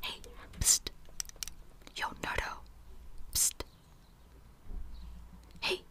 Hey, Yo, Nardo. Hey,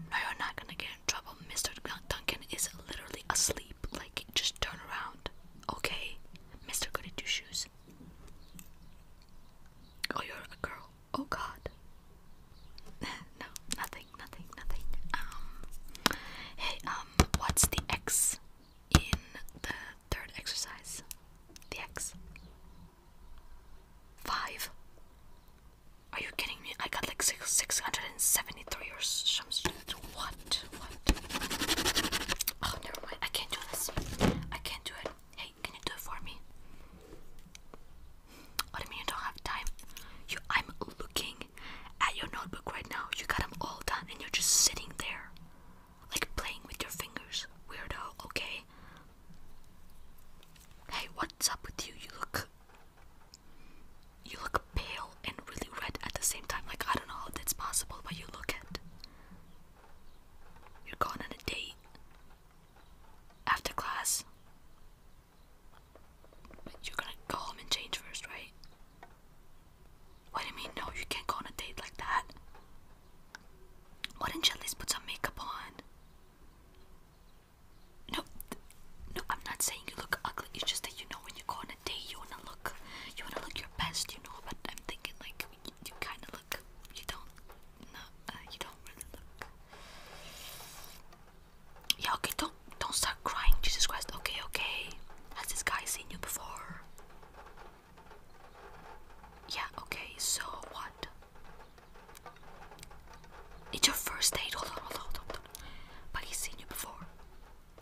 No, you're not gonna get in trouble. Mr. Duncan is literally asleep. Like, just turn around. Okay, Mr. Goody Two Shoes. Oh, you're a girl. Oh, God. no, nothing, nothing, nothing. Um, hey, um, what's the X in the third exercise? The X. Five. Are you kidding me? I got like six, 673 or something what? What? Oh, never mind. I can't do this. I can't do it. Hey, can you do it for me? What do you mean you don't have time? You, I'm looking at your notebook right now. You got them all done, and you're just sitting there, like playing with your fingers. Weirdo. Okay. Hey, what's up with you? You look. You look pale and really red at the same time. Like I don't know how that's possible, but you look it. You're going on a date. After class. you're gonna go home and change first, right? What do you mean, no? You can't go on a date like that. Why didn't you at least put some makeup on? No, no, I'm not saying you look ugly. It's just that you know when you go on a day you wanna look, you wanna look your best, you know. But I'm thinking like you, kind of look, you don't, no, uh, you don't really look. Yeah, okay, don't don't start crying, Jesus Christ. Okay, okay. Has this guy seen you before? Yeah, okay, so what? It's your first date, hold on, hold on, hold on. But he's seen you before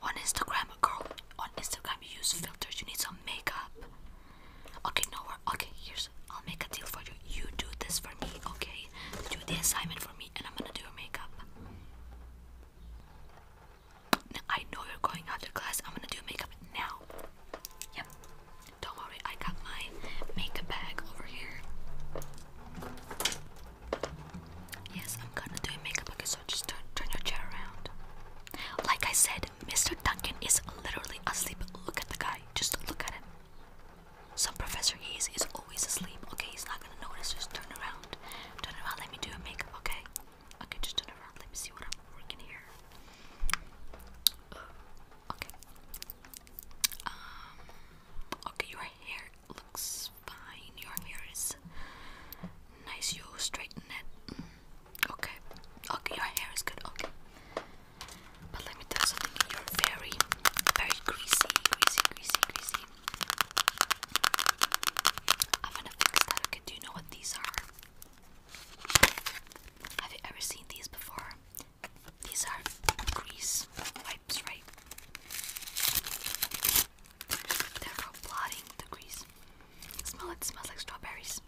on Instagram, girl. On Instagram, you use filters. You need some makeup. Okay, no, we're okay. Here's I'll make a deal for you. You do this for me, okay? Do the assignment for me, and I'm gonna do your makeup. I know you're going after class. I'm gonna do makeup now. Yep. Don't worry, I got my makeup bag over here. Yes, I'm gonna do makeup. Okay, so just turn, turn your chair around. Like I said, Mr. Duncan is literally asleep. Look at the guy. Just look at him. So professor he is always asleep. Okay, he's not gonna notice. Just turn around. Turn around. Let me do your makeup. Okay. Okay, just turn around. Let me see what I'm working here. Uh, okay. Um. Okay, your hair looks fine. Your hair is nice. You straighten it. Mm. Okay, okay, your hair is good. Okay, but let me tell you something. You're very, very greasy, greasy, greasy, greasy. I'm gonna fix that. Okay, do you know what these are? Have you ever seen these before? These are grease wipes, right? They're for blotting the grease. Smell it, smells like strawberries.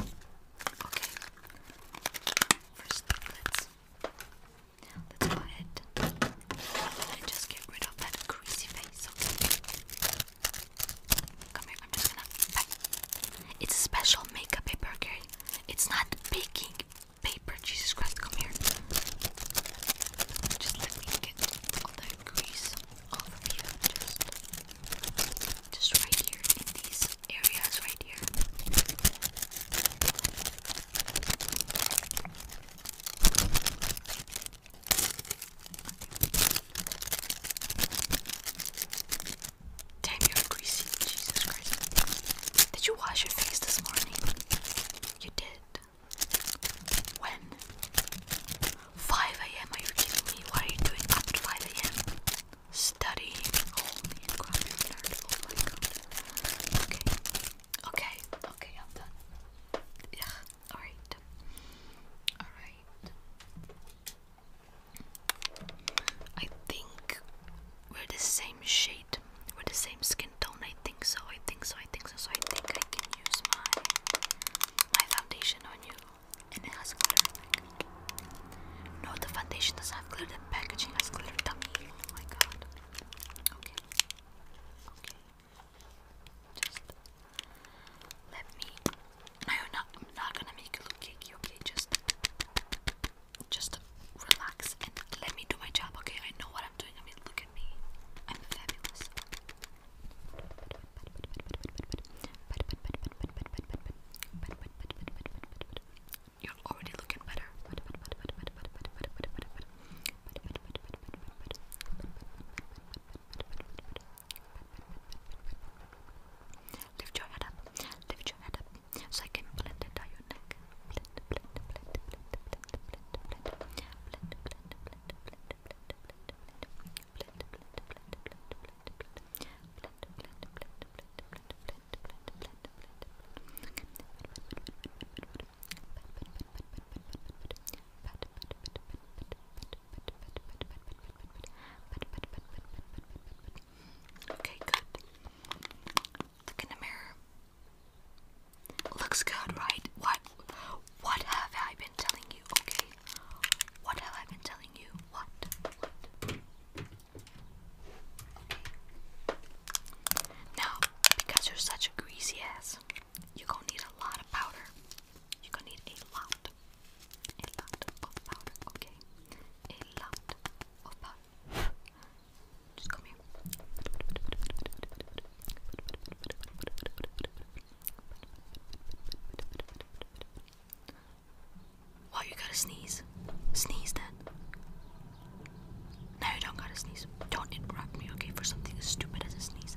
Okay. First let's let's go ahead and just get rid of that greasy face, Come here, I'm just gonna It's special makeup paper, okay? It's not baking paper, Jesus Christ, come here. Just let me get all that grease all of you just, just right here in these areas right here. Damn, you're greasy. Jesus Christ. Did you wash your face this morning? You did. When? 5 a.m. Are you kidding me? What are you doing up at 5 a.m.? Study? Holy oh, oh Okay. Okay. Okay, done. Yeah. Alright. Alright. I think we're the same shade. We're the same skin tone. I think so. I think so. I think so. So I think I can use my my foundation on you, and it has glitter. Like, no, the foundation doesn't have glitter. The packaging has glitter. Dummy! Oh my god. Okay. Okay. Just let me. No, you I'm not gonna make it look cakey. Okay, just just relax and let me do my job. Okay, I know what I'm doing. I mean, look at me. I'm fabulous. You're already looking better. Lift your head up. Lift your head up. So I can blend it down your neck. Okay, good. Look in the mirror. Looks good, right? What what have I telling you, okay? What have I been telling you? What? Now, because you're such a greasy ass, you're gonna need a lot of powder. You're gonna need a lot. A lot of powder, okay? A lot of powder. Just come here. Why you gotta sneeze? Sneeze then. No, you don't gotta sneeze. Don't interrupt me, okay, for something as stupid as a sneeze.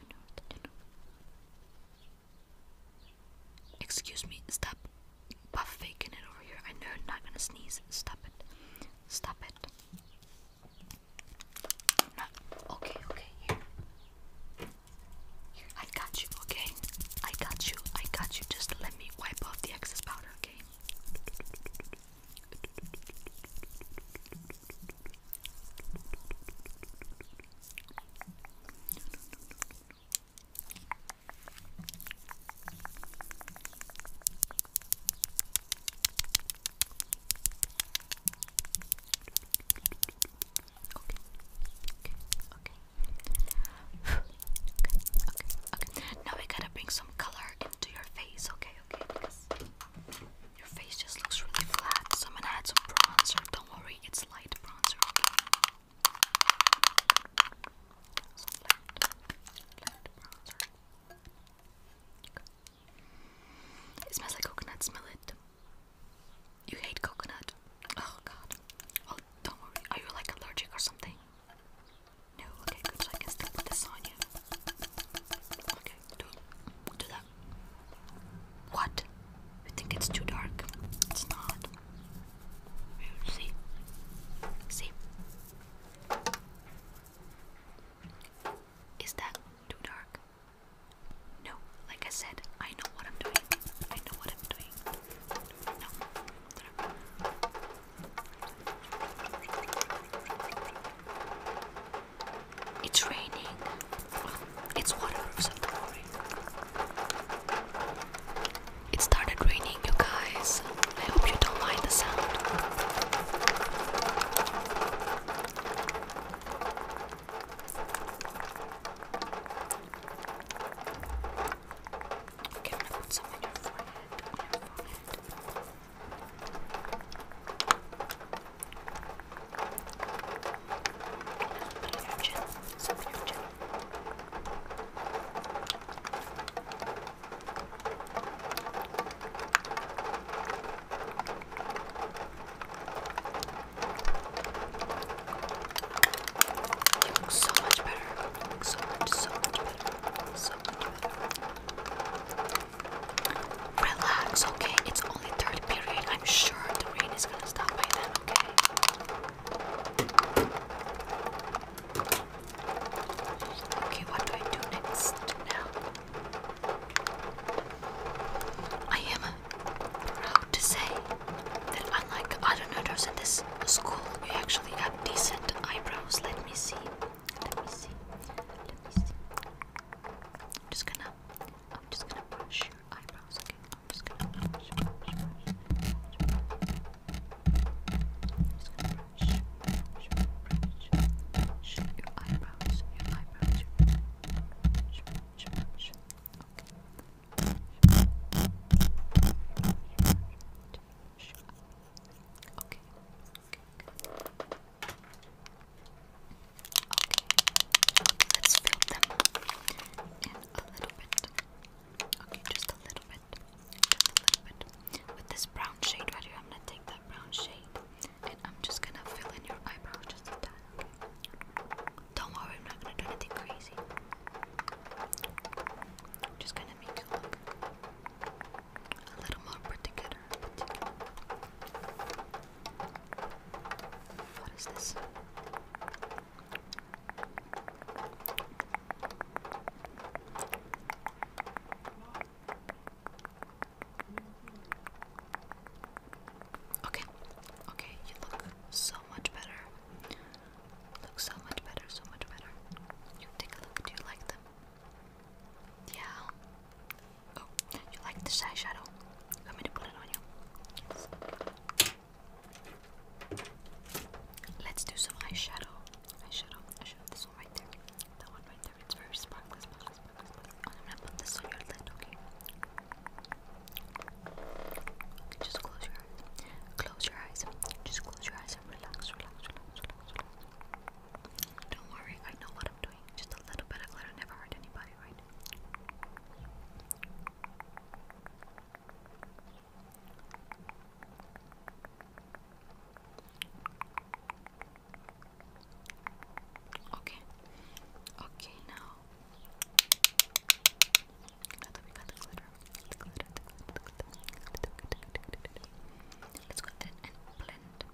Excuse me, stop buff faking it over here. I know I'm not gonna sneeze. Stop it. Stop it. okay, okay, here. Here, I got you, okay? I got you, I got you. Just let me wipe off the excess powder, okay? okay, okay. Now we gotta bring some color into your face, okay, okay, because your face just looks really flat, so I'm gonna add some bronzer. Don't worry, it's light bronzer, It smells like coconut, smell it. You hate coconut. Oh god. Well, oh, don't worry. Are you like allergic or something? No, okay, good. So I can still this on you. Okay do, do that. What? You think it's too dark? It's not. See? See? Is that too dark? No, like I said, I know what I'm doing. I know what I'm doing. No. It's raining. it's water, so do It started raining, you guys. I hope you don't mind the sound. Okay, i put some On your forehead. Put it in your chin. So put it in your chin. You look so much better. You look so much, so much better. So much better. Relax, okay? It's only third period. I'm sure the rain is gonna stop by then, okay? Okay, what do I do next now? I am proud to say that unlike other nerds at this school, you actually have decent eyebrows. Let me see. Let me see. Let me see. I'm just gonna I'm just gonna brush your eyebrows, okay? I'm just gonna brush, brush, your eyebrows, your eyebrows, your brush, brush, Okay. Okay, let's fill them in a little bit. Okay, just a little bit. Just a little bit. With this brown shade right here, I'm gonna take that brown shade and I'm just gonna fill in your eyebrow just a tad. Don't worry, I'm not gonna do anything crazy. I'm just gonna make you look a little more put what is this? Okay, okay, you look so much better. Look so much better, so much better. You take a look. Do you like them? Yeah. Oh, you like this eyeshadow? You want me to put it on you? Let's do some eyeshadow. Eyeshadow. Eyeshadow. This one right there. That one right there. It's very sparkly, oh, I'm gonna put this on your lid, okay? just close your eyes. Close your eyes. Just close your eyes and relax, relax, relax, relax. Don't worry, I know what I'm doing. Just a little bit of glitter never hurt anybody, right? Okay. Okay, now. Now that we got the glitter, the glitter, the glitter, the glitter, the glitter, the glitter, the glitter, the glitter, glitter. let's go ahead and blend.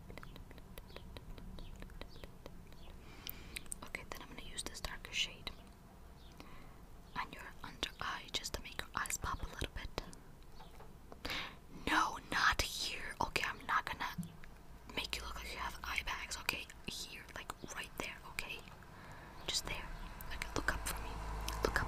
Okay, then I'm gonna use this darker shade on your under eye just to make your eyes pop a little bit. No, not here. Okay, I'm not gonna make you look like you have eye bags. Okay, here, like right there. Okay, just there. Okay, look up for me. Look up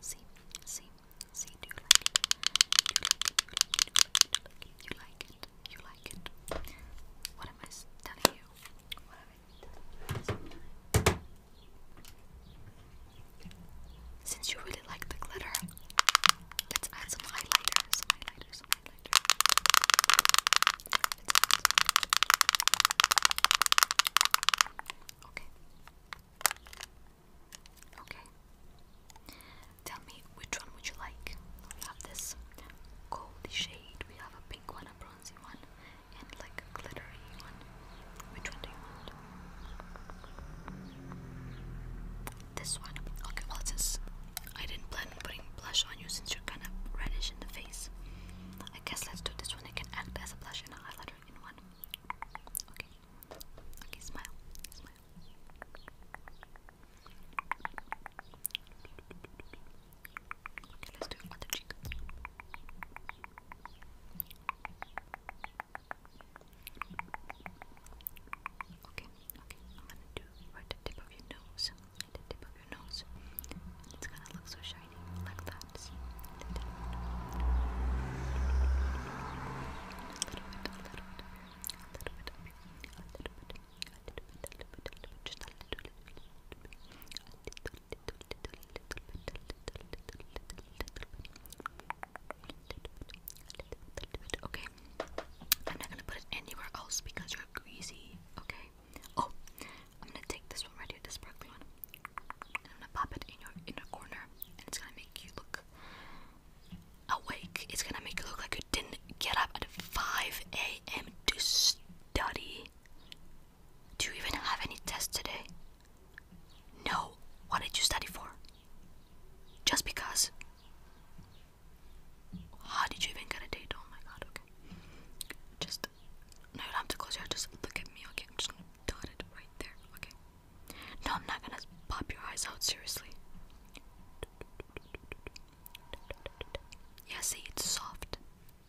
See, see, see, do you like it? you like it? you like it? you like it? What am I telling you? What am I telling you? Since you really like the glitter, let's add some highlighters. some Highlighters. some highlighter. Okay. Okay. Tell me which one would you like? We have this goldy shade, we have a pink one, a bronzy one, and like glittery one. Which one do you want? This one. Okay, well since I didn't plan on putting blush on you since you're kinda reddish in the face. I guess let's do this one. I can act as a blush and a highlighter in one. Okay. Okay, smile, Okay, let's do other cheek. Okay, okay, I'm gonna do right tip of your nose, the tip of your nose. It's gonna look so shiny, like that. Okay. I'm not gonna put it anywhere else because you're greasy. Okay. Oh, I'm gonna take this one right here, this sparkly one. I'm gonna pop it in your inner corner, and it's gonna make you look awake. It's gonna make you look like you didn't get up at 5 a.m. to study. Do you even have any tests today? No. What did you study for? Just because. How did you even get a date? Oh my god, okay. Just, no, you don't have to close your eyes, just look at me, okay? I'm just gonna dot it right there, okay? No, I'm not gonna pop your eyes out, seriously. Yeah, see, it's soft.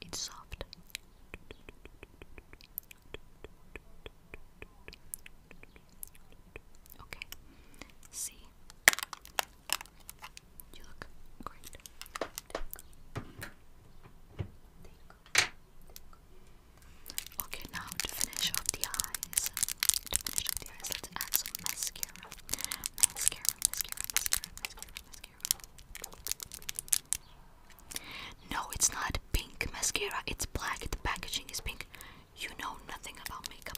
It's soft. Okay. See? You look great. Okay, now to finish off the eyes, to finish off the eyes, let's add some mascara. Mascara, mascara, mascara, mascara, mascara. No, it's not pink mascara. It's black. The packaging is pink. You know nothing about makeup.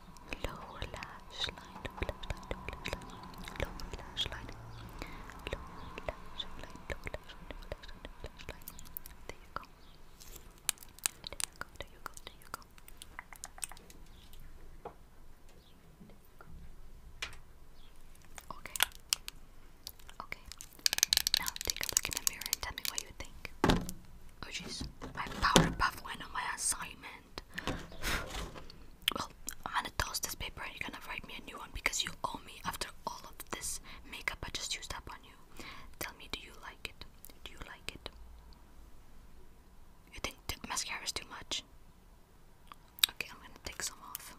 lower lash line, lower lash line, lower lash line, lower lash line, There you go. There you go. There you go. Okay. Okay. Now take a look in the mirror and tell me what you think. Oh jeez, my Powerpuff went on my assignment well, I'm gonna toss this paper and you're gonna write me a new one because you owe me after all of this makeup I just used up on you. Tell me, do you like it? Do you like it? You think the mascara is too much? Okay, I'm gonna take some off.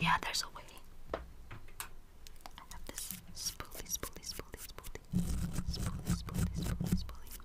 Yeah, there's a way. I have this spoolie, spoolie, spoolie, spoolie, spoolie, spoolie, spoolie, spoolie.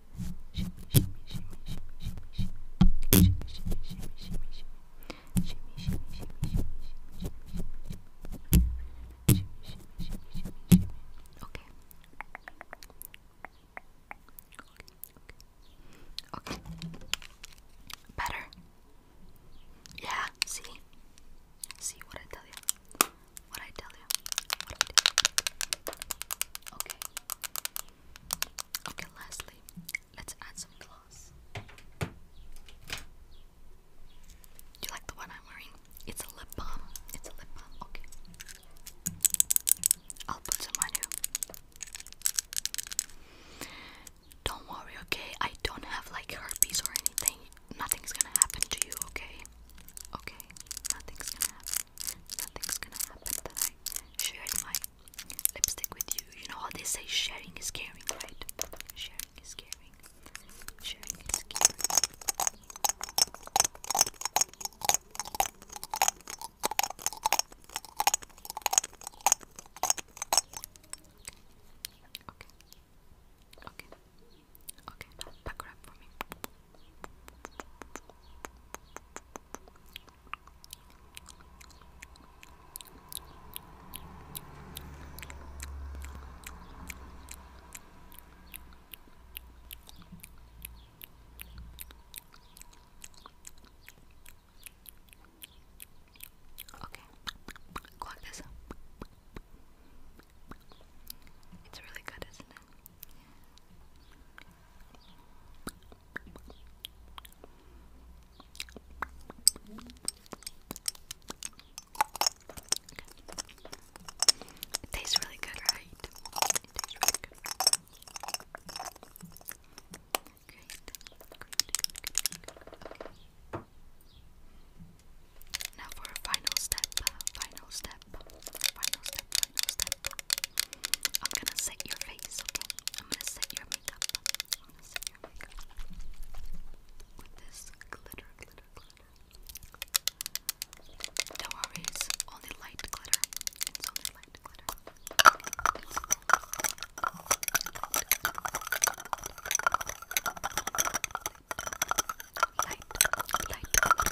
Okay. Okay. Better. Yeah, see? See what I tell you. What I tell you. What I tell you. Okay. Okay, lastly, let's add some gloss. Do you like the one I'm wearing? It's a lip balm. It's a lip balm. Okay. I'll put some on you. Don't worry, okay? I don't have like herpes or anything. Nothing's gonna happen to you, okay? Okay? Nothing's gonna happen. Nothing's gonna happen I my lipstick with you. You know how they say sharing is caring, right? Sharing is caring. Sharing is caring. Okay. Okay. Okay. Now pack it up for me. Okay, go this. It's really good, isn't it? It tastes really good, right? Now for a final step, final step, final step, I'm gonna set your face, okay? I'm gonna set your makeup. set your makeup with this glitter, glitter, glitter. Don't worry, it's only light glitter. It's only light glitter. Light, light, light,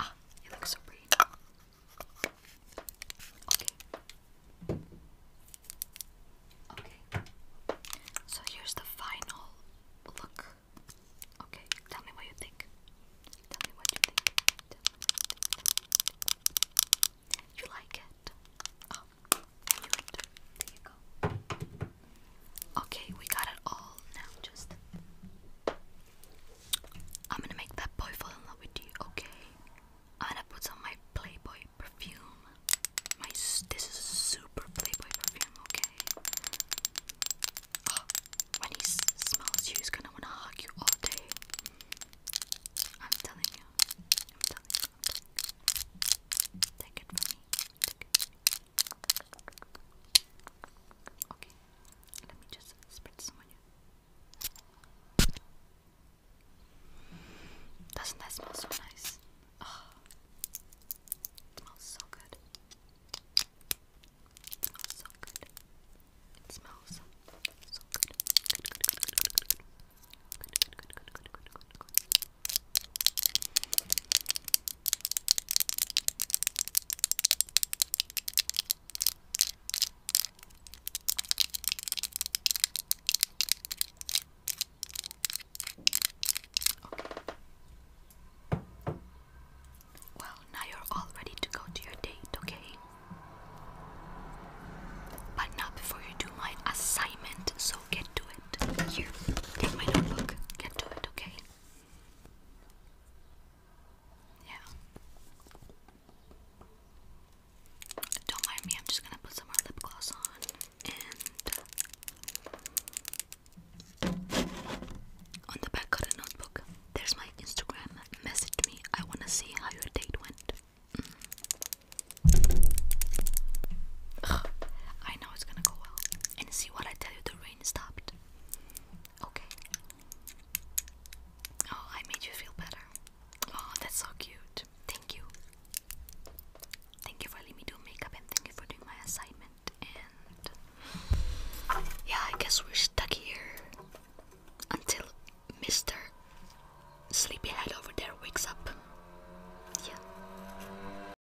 Ah, you look so pretty. Okay. Okay. So here's the final look. Okay, tell me what you think. Tell me what you think. you, like it? Oh, Okay, we got it all now. Just I'm gonna make that boy fall in love with you. Okay, I'm gonna put on my Playboy perfume. My this is super Playboy perfume. Okay. Oh, when he smells you, he's gonna wanna hug you all day. I'm telling you. Take it from me. Okay, let me just spritz some on Doesn't that smell so nice? it smells so good. so good. It smells so good. good, good, good, good, good, good, good, good, good, well, now you're all ready to go to your date, okay? But not before you do my assignment, so get to it. Here, take my notebook. Get to it, okay? Yeah. Don't mind me, I'm just gonna put some more lip gloss on and on the back of the notebook, there's my Instagram. Message me. I wanna see how your date went. Mm. I know it's gonna go well and see what I tell you the rain stopped. Okay. Oh, I made you feel better. Oh, that's so cute. Thank you. Thank you for letting me do makeup and thank you for doing my assignment. And yeah, I guess we're stuck here until Mr. Sleepyhead over there wakes up. Yeah.